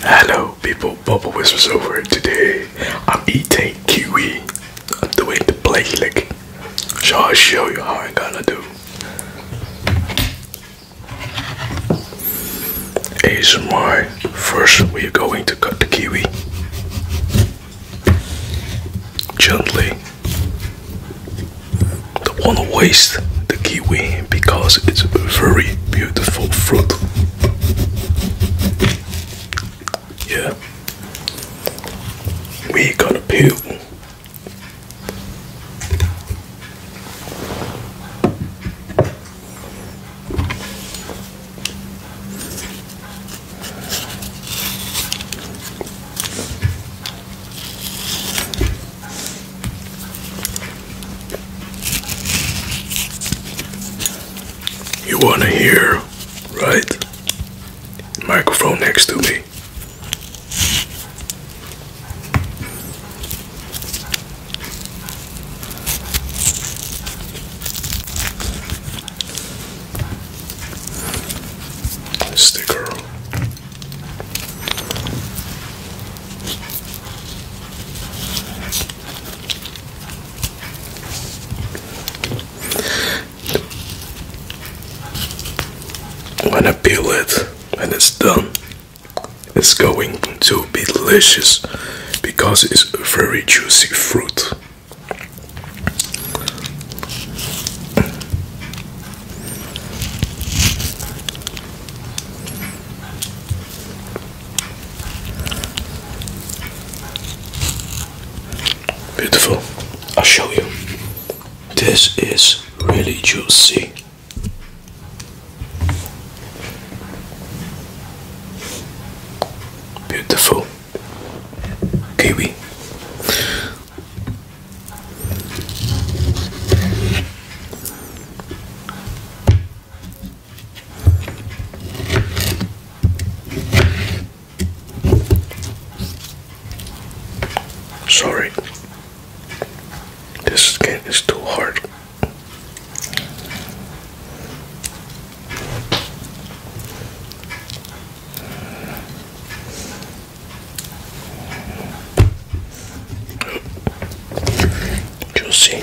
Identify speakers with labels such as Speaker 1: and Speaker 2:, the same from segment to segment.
Speaker 1: Hello people, Bubble Whispers over here today. I'm eating kiwi. I'm doing the plate lick. So I'll show you how I'm gonna do. ASMR, first we're going to cut the kiwi. Gently. Don't wanna waste the kiwi because it's a very beautiful fruit. Yeah. We got a pill. You wanna hear, right? Microphone next to me. Sticker. I'm gonna peel it and it's done. It's going to be delicious because it's a very juicy fruit. Beautiful. I'll show you. This is really juicy. Beautiful kiwi. Sorry, this game is too hard. Juicy.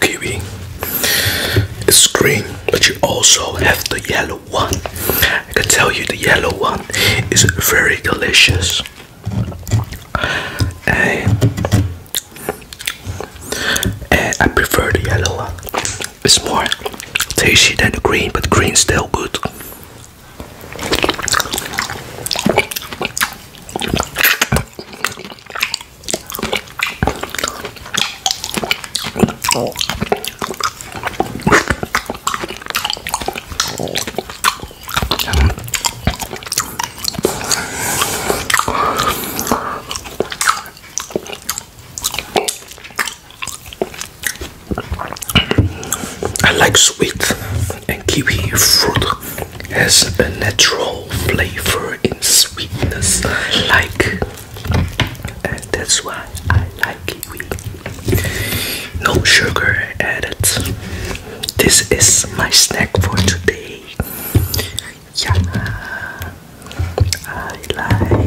Speaker 1: Kiwi is green, but you also have the yellow one. I can tell you the yellow one is very delicious. And, and I prefer the yellow one. It's more tasty than the green, but green's still good. I like sweet and kiwi fruit has a natural flavor in sweetness like and that's why I like kiwi. No sugar added. This is my snack for today. Yeah, I like.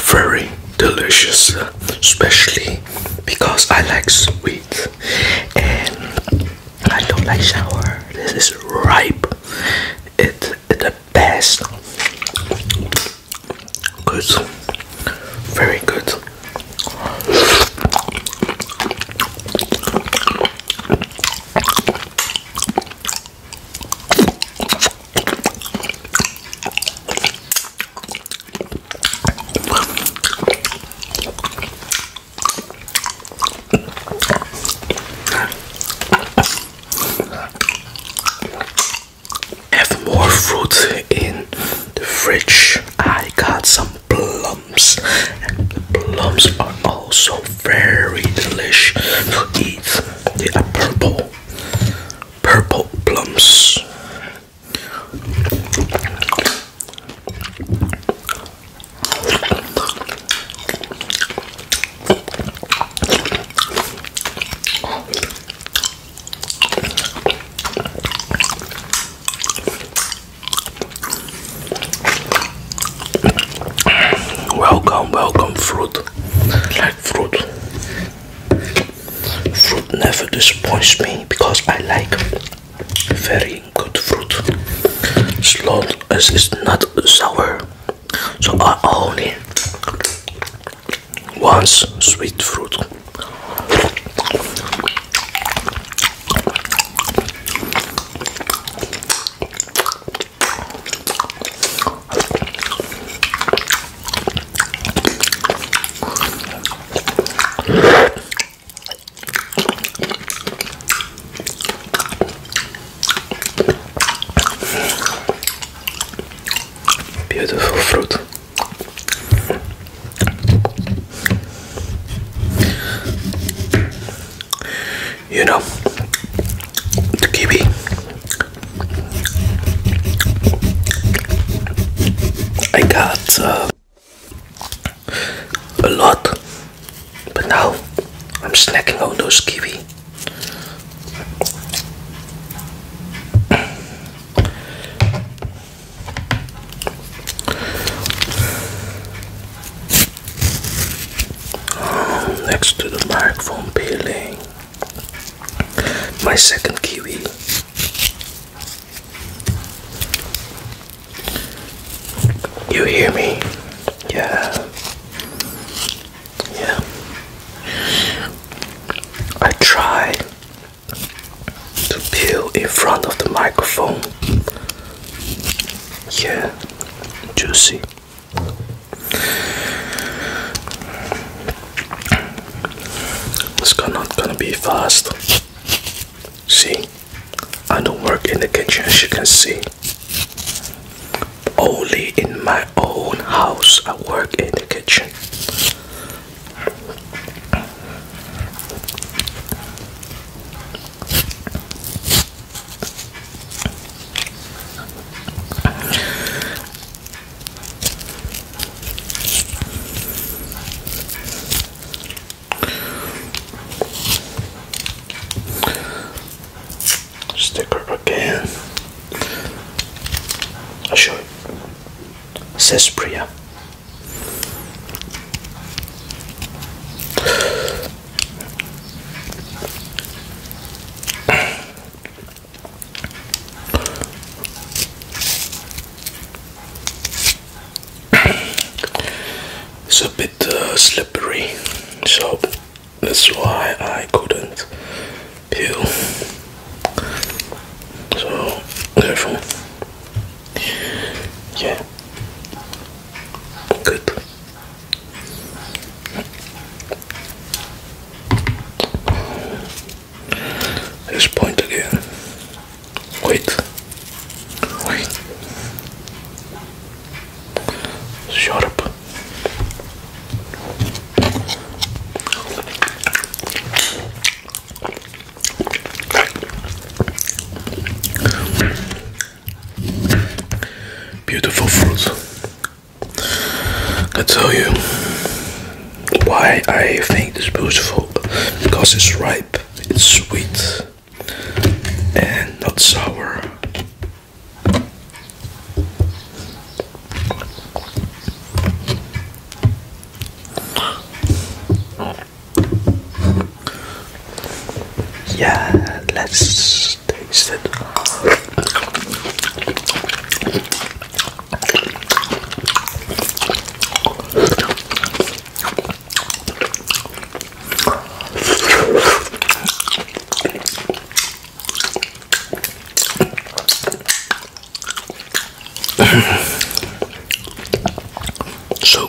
Speaker 1: very delicious, especially because I like sweet and I don't like sour. This is ripe. It's it the best. Good, very good. Have more fruit in the fridge. I got some plums, the plums are also very delicious to eat. They are purple purple plums. Welcome, welcome, fruit fruit fruit never disappoints me because I like very good fruit as long as it's not sour so I only want sweet fruit Beautiful fruit. You know, the kiwi I got uh, a lot, but now I'm snacking on those kiwi. next to the microphone peeling my second kiwi. You hear me? Yeah. Yeah. I try to peel in front of the microphone. Yeah. Juicy. It's not gonna be fast. See, I don't work in the kitchen, as you can see. Only in my own house, I work in the kitchen. Sticker again. i A shirt says Priya. it's a bit uh, slippery, so that's why I couldn't peel. So, careful. Yeah. Good. This point again. Wait. Wait. Shut up. Beautiful fruits. I tell you why I think it's beautiful because it's ripe, it's sweet, and not sour. Yeah, let's so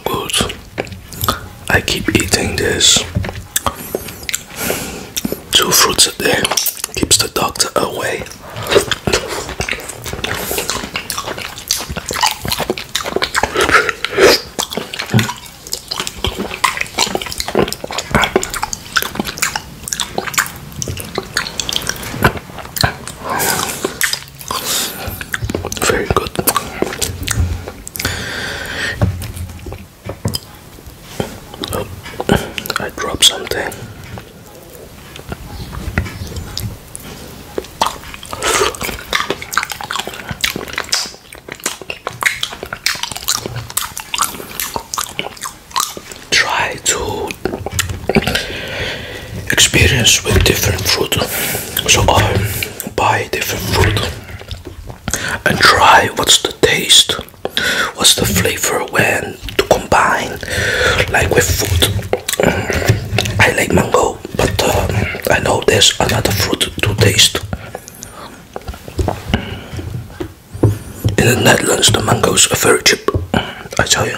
Speaker 1: good. I keep eating this Two fruits a day keeps the doctor away. Very good. Oh, I dropped something. Try to experience with different fruit. So I um, buy different fruit and try what's the taste What's the flavor when to combine like with food mm. I like mango but uh, I know there's another fruit to taste in the Netherlands the mangoes are very cheap mm, I tell you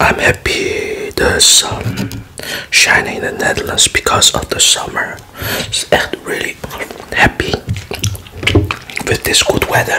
Speaker 1: I'm happy the sun shining in the Netherlands because of the summer. I'm really happy with this good weather.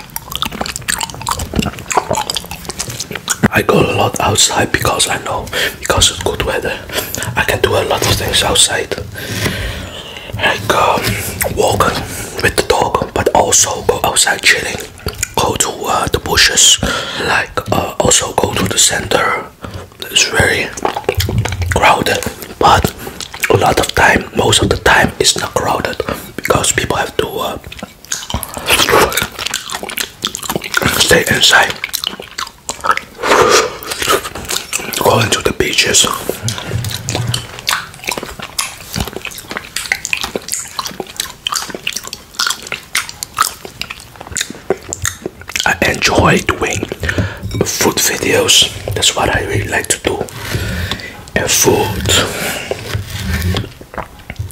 Speaker 1: I go a lot outside because I know because it's good weather. I can do a lot of things outside, like um, walking with the dog, but also go outside chilling, go to uh, the bushes, like uh, also go to the center. It's very crowded, but a lot of time, most of the time, it's not crowded because people have to. Uh, Stay inside. Go into the beaches. I enjoy doing food videos. That's what I really like to do. And food.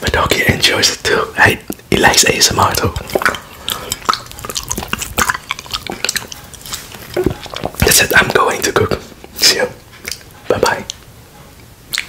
Speaker 1: My doggy enjoys it too. I, he likes ASMR too. That's it. I'm going to cook. See you. Bye bye.